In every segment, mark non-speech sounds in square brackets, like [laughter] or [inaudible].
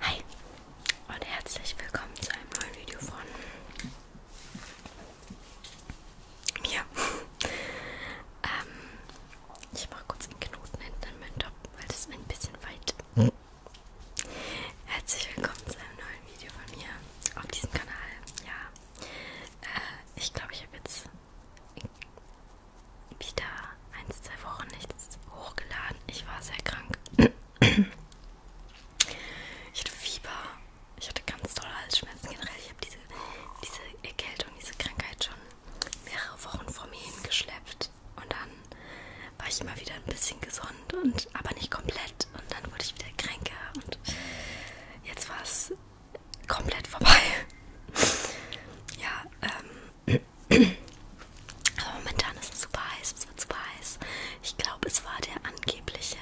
Hi und herzlich willkommen zu einem neuen Video von mir. [laughs] ähm, ich mache kurz einen Knoten hinten in meinen Top, weil das ist ein bisschen weit. Hm. Herzlich willkommen zu einem neuen Video von mir auf diesem Kanal. Ja, äh, ich glaube, ich habe jetzt wieder eins, zwei Wochen nichts hochgeladen. Ich war sehr krank. Ich hatte Fieber. Ich hatte ganz tolle Halsschmerzen generell. Ich habe diese, diese Erkältung, diese Krankheit schon mehrere Wochen vor mir hingeschleppt. Und dann war ich immer wieder ein bisschen gesund, und, aber nicht komplett. Und dann wurde ich wieder kränker. Und jetzt war es komplett vorbei. [laughs] ja, ähm. Aber momentan ist es super heiß, es wird super heiß. Ich glaube, es war der angebliche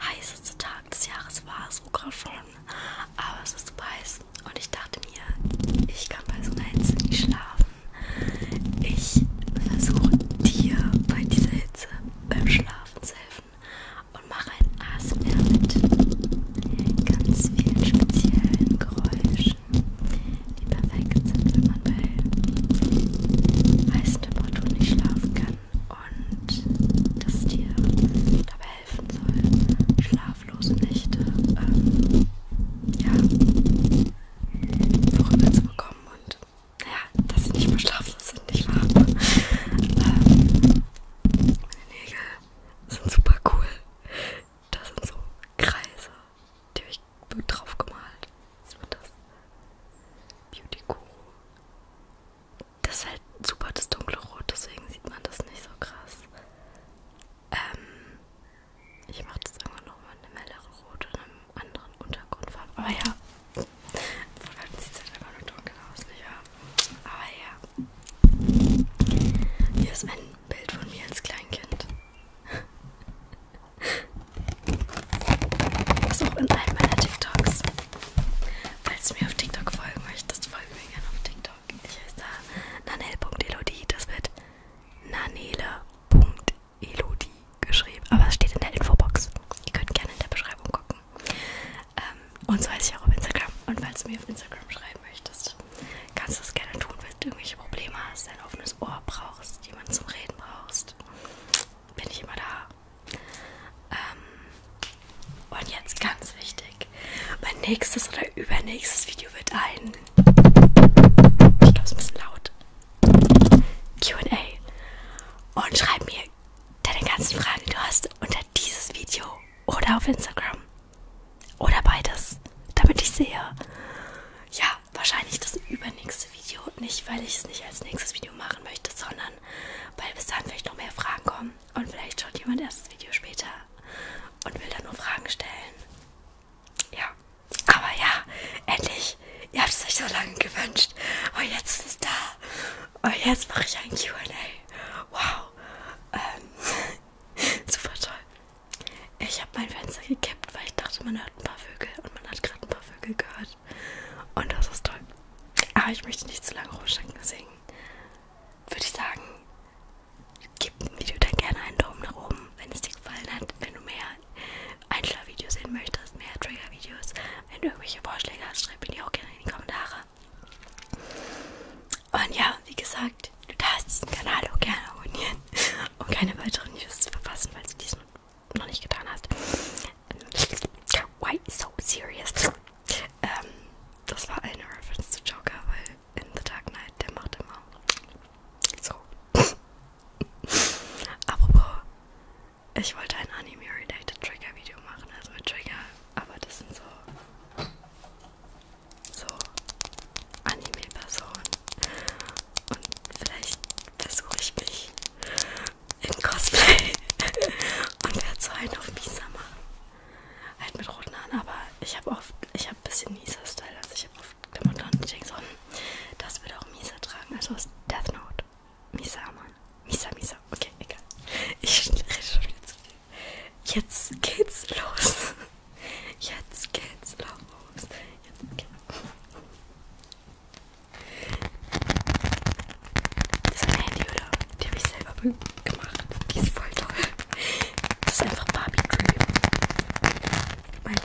heißeste Tag des Jahres, war es sogar schon. Aber es ist super heiß und ich dachte mir, ich kann bei so einer Hitze nicht schlafen. Ich versuche dir bei dieser Hitze beim Schlafen zu helfen. Sachen und mache ein ASMR mit ganz vielen speziellen Geräuschen, die perfekt sind, wenn man bei heißen Temperaturen nicht schlafen kann und das dir dabei helfen soll, schlaflose Nächte ähm, ja, vorüber zu bekommen und naja, dass sie nicht mehr schlaflos sind, nicht wahr? ähm, meine Nägel sind super cool. Das sind so Kreise, die habe ich drauf gemalt. Was wird das? Beauty Guru. Das ist halt super das dunkle Rot, deswegen sieht man das nicht so krass. Ähm, ich mache das irgendwann nochmal in einem helleren Rot und einem anderen Untergrundfarbe. Aber ah ja, sieht es halt einfach nur dunkel aus, nicht wahr? Aber ah ja. Hier ist ein Bild von mir als Kleinkind. Das ist auch in einem meiner TikToks. Falls du mir auf TikTok folgen möchtest, folge mir gerne auf TikTok. Ich heiße da nanel.elodie. Das wird nanele.elodie geschrieben. Aber es steht in der Infobox. Ihr könnt gerne in der Beschreibung gucken. Ähm, und so heiße ich auch auf Instagram. Und falls du mir auf Instagram schreiben möchtest, kannst du das gerne tun, wenn du irgendwelche Probleme hast, ein offenes Ohr brauchst, jemanden zum Reden brauchst. Bin ich immer da. Ähm, und jetzt ganz wichtig: Mein nächstes oder übernächstes Video wird ein. Ich glaube, es ist ein bisschen laut. QA. Und schreib mir deine ganzen Fragen, die du hast, unter dieses Video oder auf Instagram. Oder beides, damit ich sehe. Ja, wahrscheinlich das übernächste Video. Nicht, weil ich es nicht als nächstes Video machen möchte, sondern weil bis dann vielleicht noch mehr Fragen kommen. Und vielleicht schaut jemand erst das Video später und will dann nur Fragen stellen. Ja, aber ja, endlich. Ihr habt es euch so lange gewünscht. Und jetzt ist es da. Und jetzt mache ich ein QA. Wow. Ähm, [laughs] super toll. Ich habe mein Fenster gekippt, weil ich dachte, man hört ein paar Vögel. Und man hat gerade ein paar Vögel gehört. Und das ist toll. Aber ich möchte nicht zu lange rumstecken, deswegen würde ich sagen, gib dem Video dann gerne einen Daumen nach oben, wenn es dir gefallen hat. Wenn du mehr Einschlafvideos sehen möchtest, mehr Trigger-Videos, wenn du irgendwelche Vorschläge hast, schreib mir die auch gerne in die Kommentare. Und ja, wie gesagt, du darfst diesen Kanal auch gerne abonnieren, [laughs] um keine weiteren News zu verpassen, falls du dies noch nicht getan hast. Why so serious? Ähm, das war eine Reference zu Joker, weil in The Dark Knight, der macht immer so. [laughs] Apropos, ich wollte ein Anime-related Trigger-Video machen, also mit Trigger aber das sind so, so Anime-Personen. Und vielleicht versuche ich mich im Cosplay [laughs] und werde so einen auf Misama. Halt mit roten Haaren, aber ich habe oft, ich habe ein bisschen mieser Style. Also ich habe oft Klamotten und ich denke so, das würde auch Misa tragen. Also ist Death Note. Misa, Mann. Misa, Misa. Okay, egal. Ich [laughs] rede schon wieder zu viel. Jetzt geht's los. Jetzt geht's los. Jetzt geht's das ist ein Handy, oder? Die habe ich selber gemacht. Die ist voll toll. Das ist einfach Barbie Dream. Mein,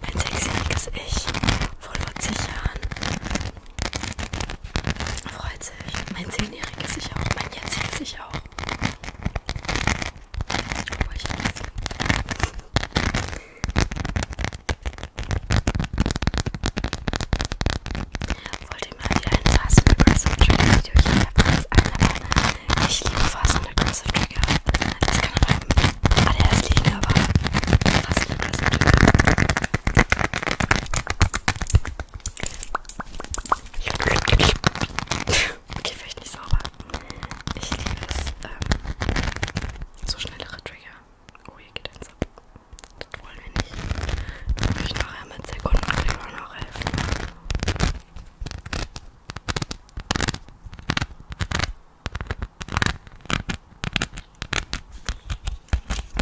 mein sechsjähriges Ich, wohl vor zig Jahren, Freut sich. Mein Zehnjähriges sich auch. Mein jetziges sich auch. Obwohl ich jetzt. Wollt ihr mal wieder ein Fast and Aggressive Trigger Video? Ich habe eins ein, aber ich liebe Fast and Aggressive Trigger. Das kann aber ADS liegen, aber Fast and Aggressive Trigger. Okay, vielleicht nicht sauber. Ich liebe es. Ähm, so schnellere Trigger. Oh, hier geht eins ab. Das wollen wir nicht. Kann ich nachher mit Sekunden noch helfen.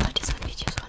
Wollt ihr so ein Video von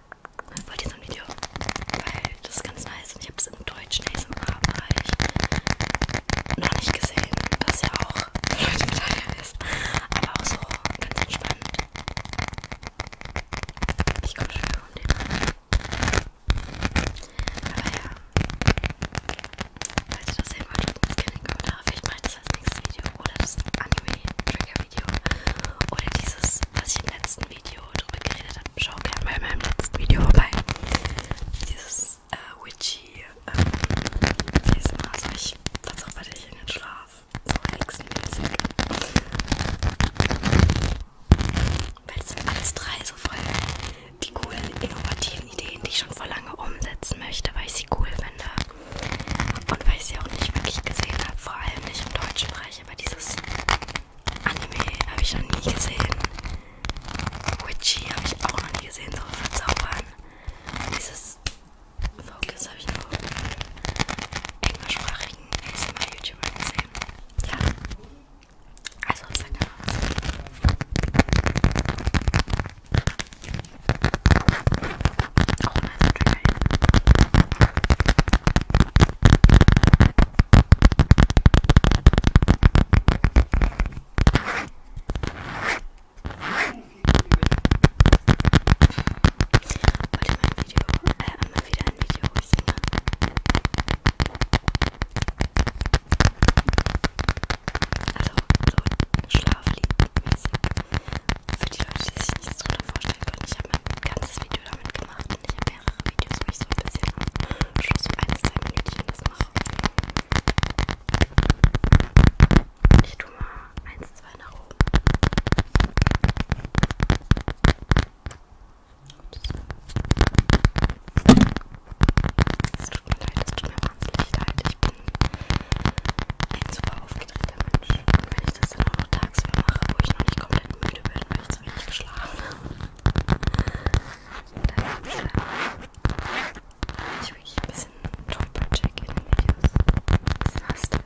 wollt ihr so ein Video? Weil das ist ganz nice und ich habe es im deutschen ASMR-Bereich halt noch nicht gesehen, was ja auch für [laughs] Leute mit ist, aber auch so ganz entspannt. Ich komme schon wieder um den Aber ja, falls ihr das sehen wollt, schreibt uns gerne in die Kommentare. Vielleicht mache ich das als nächstes Video oder das Anime-Trigger-Video oder dieses, was ich im letzten Video drüber geredet habe, schau gerne mal in meinem letzten Video vorbei. Dieses äh, Witchy, ähm, wie ist immer, also ich verzaubere dich in den Schlaf. So hexenmäßig. Weil es sind alles drei so voll die coolen, innovativen Ideen, die ich schon vor lange umsetzen möchte, weil ich sie cool finde. Und weil ich sie auch nicht wirklich gesehen habe, vor allem nicht im deutschen Bereich, aber dieses Anime habe ich noch nie gesehen. Witchy habe ich auch noch nie gesehen, so verzaubern. Dieses Focus habe ich nur englischsprachigen ASMR-YouTuber gesehen. Ja. Also, sag mal was. Auch nice Trigger. Heute mal ein Video, äh, mal wieder ein Video, wo ich singe. Also, so schlafliegenmäßig. Für die Leute, die sich nichts drunter vorstellen können, ich habe mein ganzes Video damit gemacht und ich habe wärmeren Videos, wo ich so ein bisschen am Schluss für ein, zwei Minütchen das mache. Ich tue mal eins, zwei nach oben. Es tut mir leid, es tut mir wahnsinnig leid. Ich bin ein super aufgedrehter Mensch. Und wenn ich das dann auch noch tagsüber mache, wo ich noch nicht komplett müde bin, habe ich zu wenig geschlafen. Und dann äh, ich wirklich ein bisschen Top-Check in den Videos. Das ist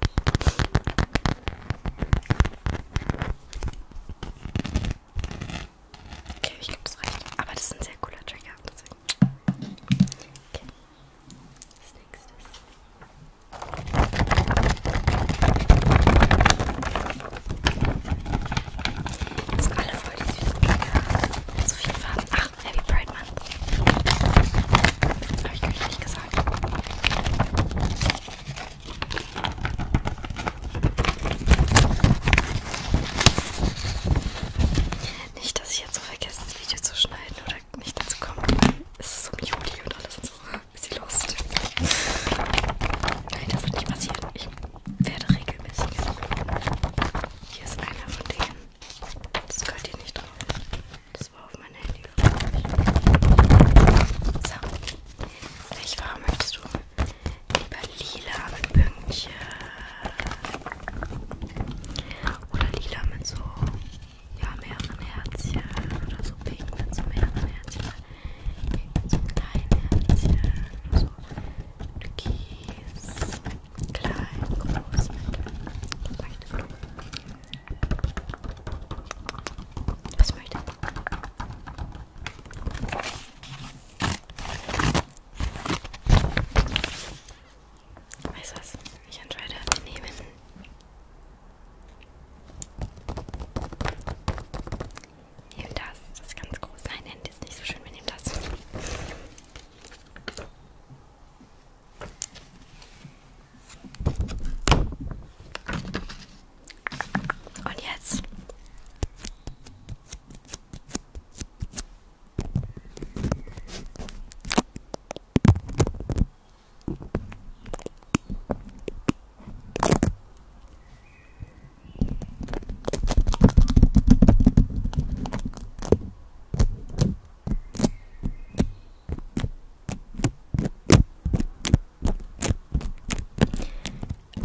Okay, ich glaube, das reicht. Aber das ist ein sehr cooler Trigger. Deswegen. Okay. Das nächste ist. Das sind alle voll die süßen Blöcke. So viele Farben. Ach, Happy Pride Month. Habe ich euch nicht gesagt. Nicht, dass ich jetzt so vergesse, das Video zu schneiden oder nicht dazu komme. Es ist um Juli und alles und so bisschen Lust. Nein, das wird nicht passieren. Ich werde regelmäßig. Hier ist einer von denen. Das gehört hier nicht drauf. Das war auf mein Handy. So. Welche Farbe möchtest du? Lieber lila mit Pünktchen. Oder lila mit so ja, mehreren Herzchen. Oder so pink mit so mehreren Herzchen so kleine Zellen, so Kies, klein, groß, mittel, Was möchte ich? Weißt du was? Ich entscheide, wir nehmen Nehmen das. Das ist ganz groß. Nein, Ende ist nicht so schön. Wir nehmen das. Und jetzt.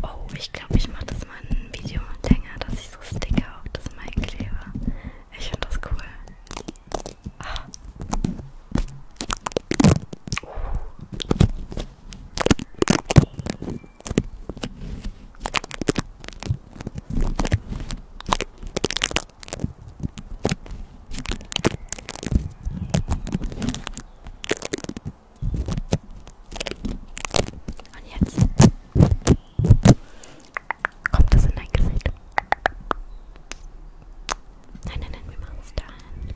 Oh, ich glaube, ich mache das mal ein Video länger, dass ich so Sticker auf das Mic klebe. Ich finde das cool. Ah. Und jetzt kommt das in dein Gesicht. Nein, nein, nein, wir machen es dahin.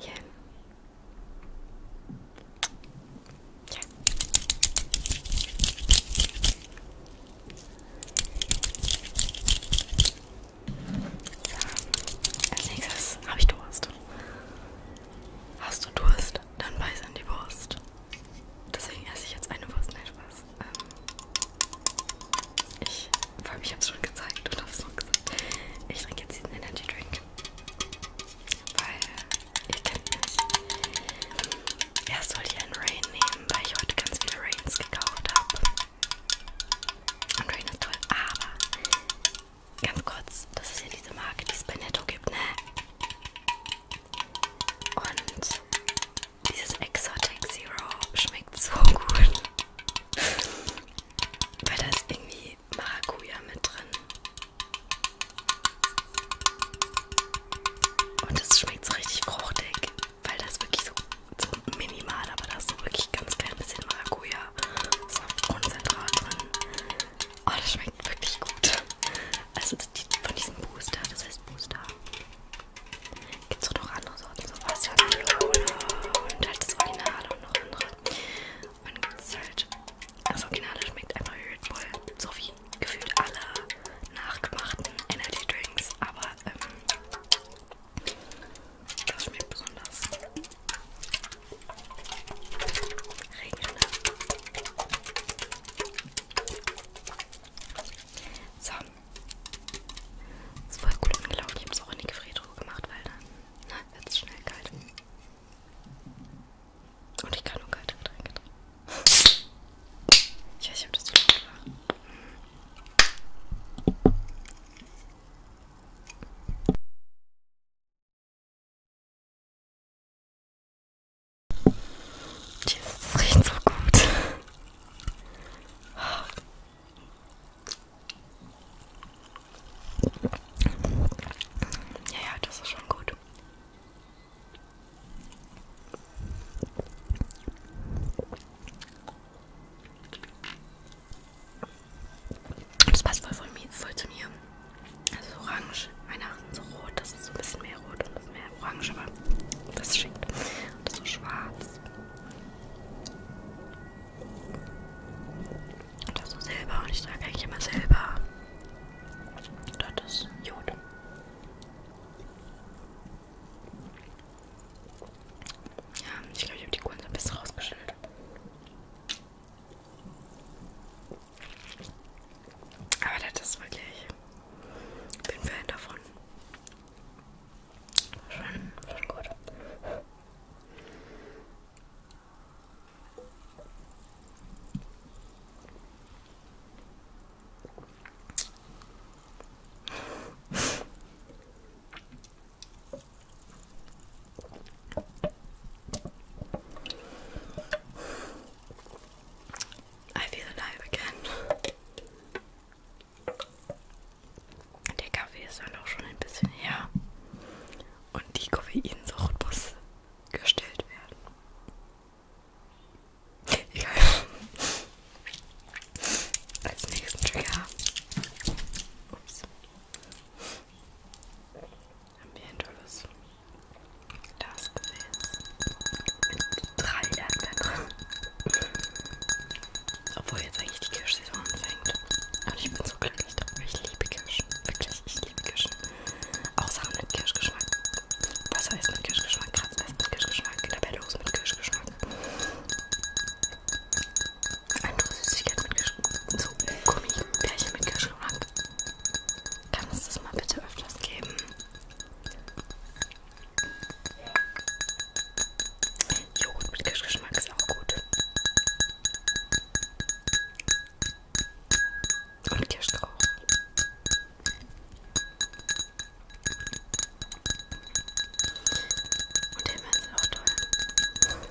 Yeah. Yeah. So, als nächstes habe ich Durst. Hast du Durst? dann beiß an die Wurst. Deswegen esse ich jetzt eine Wurst, nein Spaß. Ähm, ich, vor allem, ich habe es schon gezeigt und habe es noch gesagt. Ich trinke jetzt diesen Energy Drink, weil ihr kennt mich. Erst wollte ich ähm, einen Rain nehmen, weil ich heute ganz viele Rains gekauft habe. Und Rain ist toll, aber ganz kurz, das ist ja diese Marke, die es bei Netto gibt, ne? Und dieses Exotic Zero schmeckt so [laughs] gut. Weil da ist irgendwie Maracuja mit drin. Und es schmeckt so richtig fruchtig, weil das wirklich so, so minimal, aber da ist so wirklich ganz klein bisschen Maracuja-Saftkonzentrat drin. Oh, das schmeckt wirklich gut. Also die, von diesem Booster, das heißt Booster. Gibt's auch noch andere Sorten, so Wasser, und halt das Originale und noch andere. Und gibt's halt, das Originale schmeckt einfach Red Bull, so wie gefühlt alle nachgemachten Energy Drinks, aber ähm, das schmeckt besonders. Regenrinne. So. Das ist voll gut angelaufen. Ich habe es auch in die Gefriertruhe gemacht, weil dann ne, wird es schnell kalt. Und ich kann nur kalte Getränke trinken. Ich weiß, ich habe das zu laut gemacht. Jesus, das riecht so gut. Ja, ja, das ist schon gut. Das passt voll, voll, voll zu mir. Also orange. Weihnachten so rot. Das ist so ein bisschen mehr rot und das mehr orange, aber das ist schick. Und das ist so schwarz. Und das ist so silber. Und ich trage eigentlich immer silber. Und das ist Jod. Ja, ich glaube, ich habe die Kunden so ein bisschen rausgeschnitten. Aber das ist wirklich. Ich bin Fan davon. Schon, schon gut. I feel alive again. Der Kaffee ist dann auch schon ein bisschen her. Und die Koffeinsucht muss gestillt werden. Egal. Als nächsten Trigger. Ups haben wir ein tolles Glasgefäß mit drei Erdbeeren. Obwohl jetzt eigentlich die Kirschsaison anfängt. Und ich bin so glücklich darüber. Ich liebe Kirschen. Wirklich, ich liebe Kirschen. Auch Sachen mit Kirschgeschmack. Wasser ist mit Kirschgeschmack, Kratzeis mit Kirschgeschmack, Labellos mit Kirschgeschmack. Andere Süßigkeiten mit Kirschgeschmack. So Gummibärchen mit Kirschgeschmack. Kann es das mal bitte öfters geben? Joghurt mit Kirschgeschmack ist auch gut. Und Kirschstrauch. Und Himbeeren sind auch toll.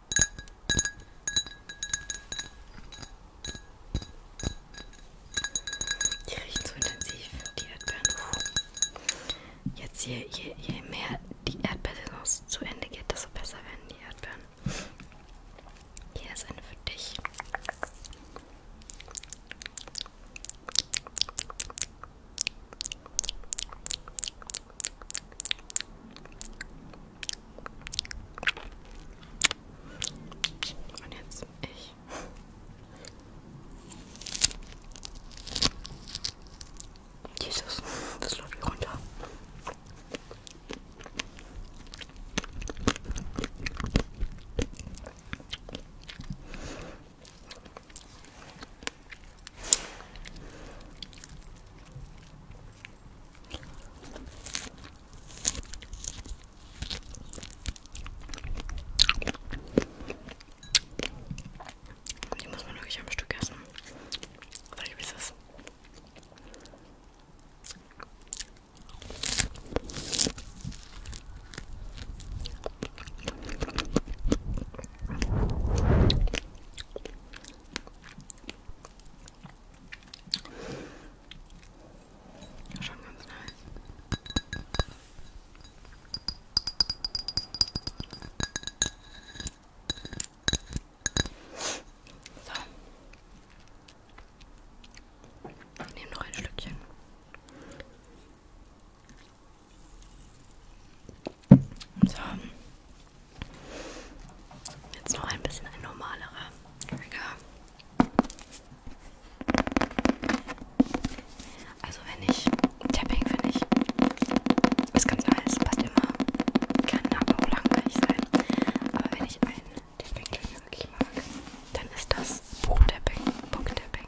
Die riechen so intensiv, die Erdbeeren. Jetzt je, je, je mehr die Erdbeersaison zu Ende geht, desto besser werden die Erdbeeren. Hier ist eine für dich. Und jetzt ich. Jesus, das läuft hier runter. Die muss man wirklich am Stück essen. Weil ich weiß es. Schon ganz nice. So. Ich nehme noch ein Stückchen. So. Jetzt noch ein bisschen ein normalerer Trigger. Also wenn ich Tapping finde ich ist ganz nice, passt immer. Kann aber auch langweilig sein. Aber wenn ich einen Tapping Trigger wirklich mag, dann ist das Book Tapping. Book -Tapping.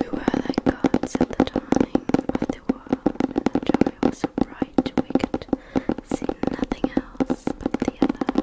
We were like gods at the time, of the world, was so bright we could see nothing else but the other.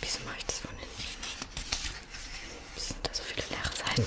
Wieso mache ich das von hinten? Wieso sind da so viele leere Seiten?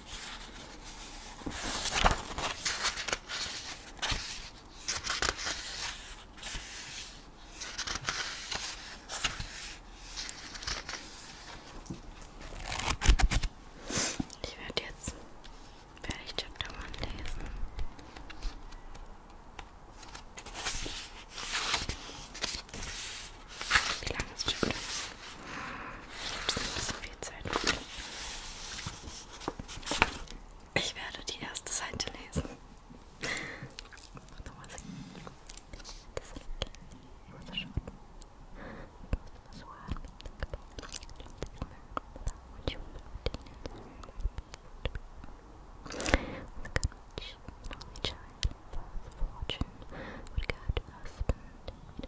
Ich werde jetzt fertig Chapter One lesen. Wie lange ist Chapter? Ich habe es ein bisschen konzentriert sein. Ich werde die erste Seite lesen. Nochmal sehen. Das ist ein Fortune would go to husband and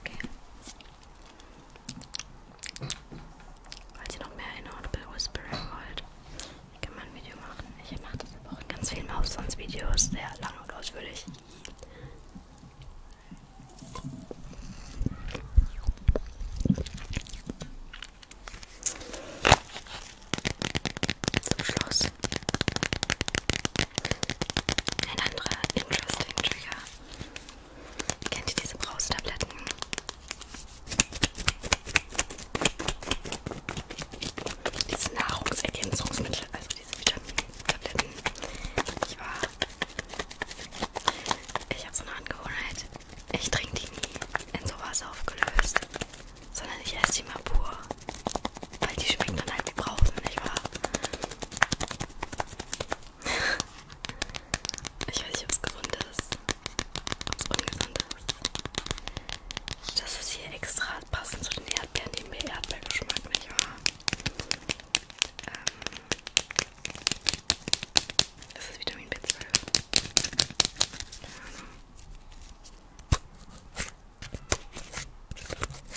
Okay. Falls ihr noch mehr in Audible Whispering wollt, kann man ein Video machen. Ich mache das aber auch in ganz vielen Mausons-Videos, sehr lang und ausführlich. Zum Schluss ein anderer interesting Trigger. Kennt ihr diese Braustabletten? Diese Nahrungsergänzungsmittel, also diese Vitamintabletten. Ich war. Ich habe so eine Angewohnheit. Ich trinke die nie in sowas aufgelöst, sondern ich esse die mal pur. Weil die schmecken dann halt wie Brausen, nicht wahr? [laughs] ich weiß nicht, ob es gesund ist. Ob es ungesund ist. Das ist hier extra passend zu den Erdbeeren, die mir Erdbeergeschmack, nicht wahr? Ähm, ist es Vitamin B12? Keine Ahnung.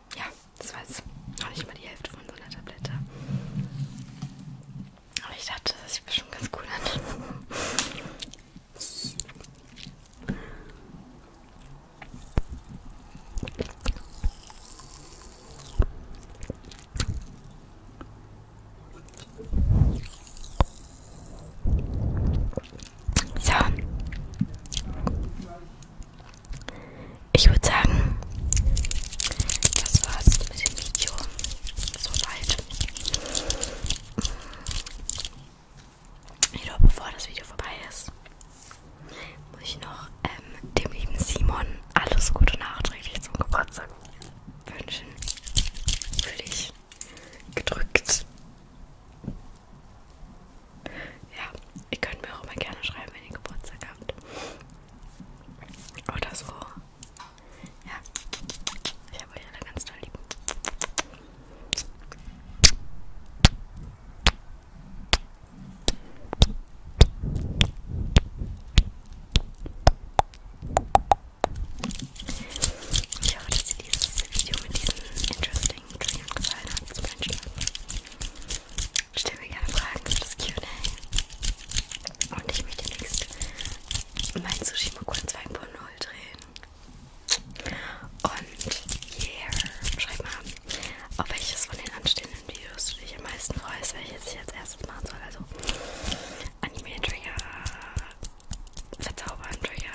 ja, das war jetzt noch nicht mal die Hälfte von so einer Tablette. Aber ich dachte, das sieht bestimmt ganz cool an. So. Ich würde sagen, das war's mit dem Video. Soweit. Jedoch bevor das Video vorbei ist, muss ich noch ähm, dem lieben Simon alles Gute nachträglich zum Geburtstag wünschen. Für dich gedrückt. Ja, ihr könnt mir auch immer gerne schreiben, wenn ihr Geburtstag habt. Oder so. Ja, ich habe euch alle ganz toll lieb. Ich hoffe, dass ihr dieses Video mit diesen interesting deswegen kriegen wir gefallen hat zum Einschlafen. Stell mir gerne Fragen für das Q&A. Und ich möchte demnächst mein Sushi Mokun 2.0 drehen. Und yeah, schreib mal, auf welches von den anstehenden Videos du dich am meisten freust, welches ich als erstes machen soll. Also Anime-Trigger, Verzaubern-Trigger,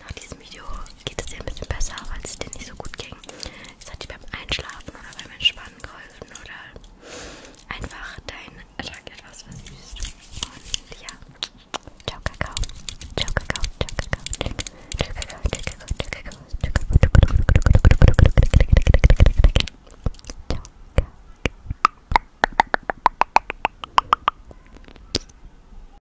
Nach diesem Video geht es dir ein bisschen besser, weil es dir nicht so gut ging. Es hat dir beim Einschlafen oder beim Entspannen geholfen oder einfach deinen Tag etwas versüßt. Und ja, ciao Kakao. Ciao Kakao. Ciao Kakao. Ciao Kakao. Ciao Kakao. Ciao Kakao.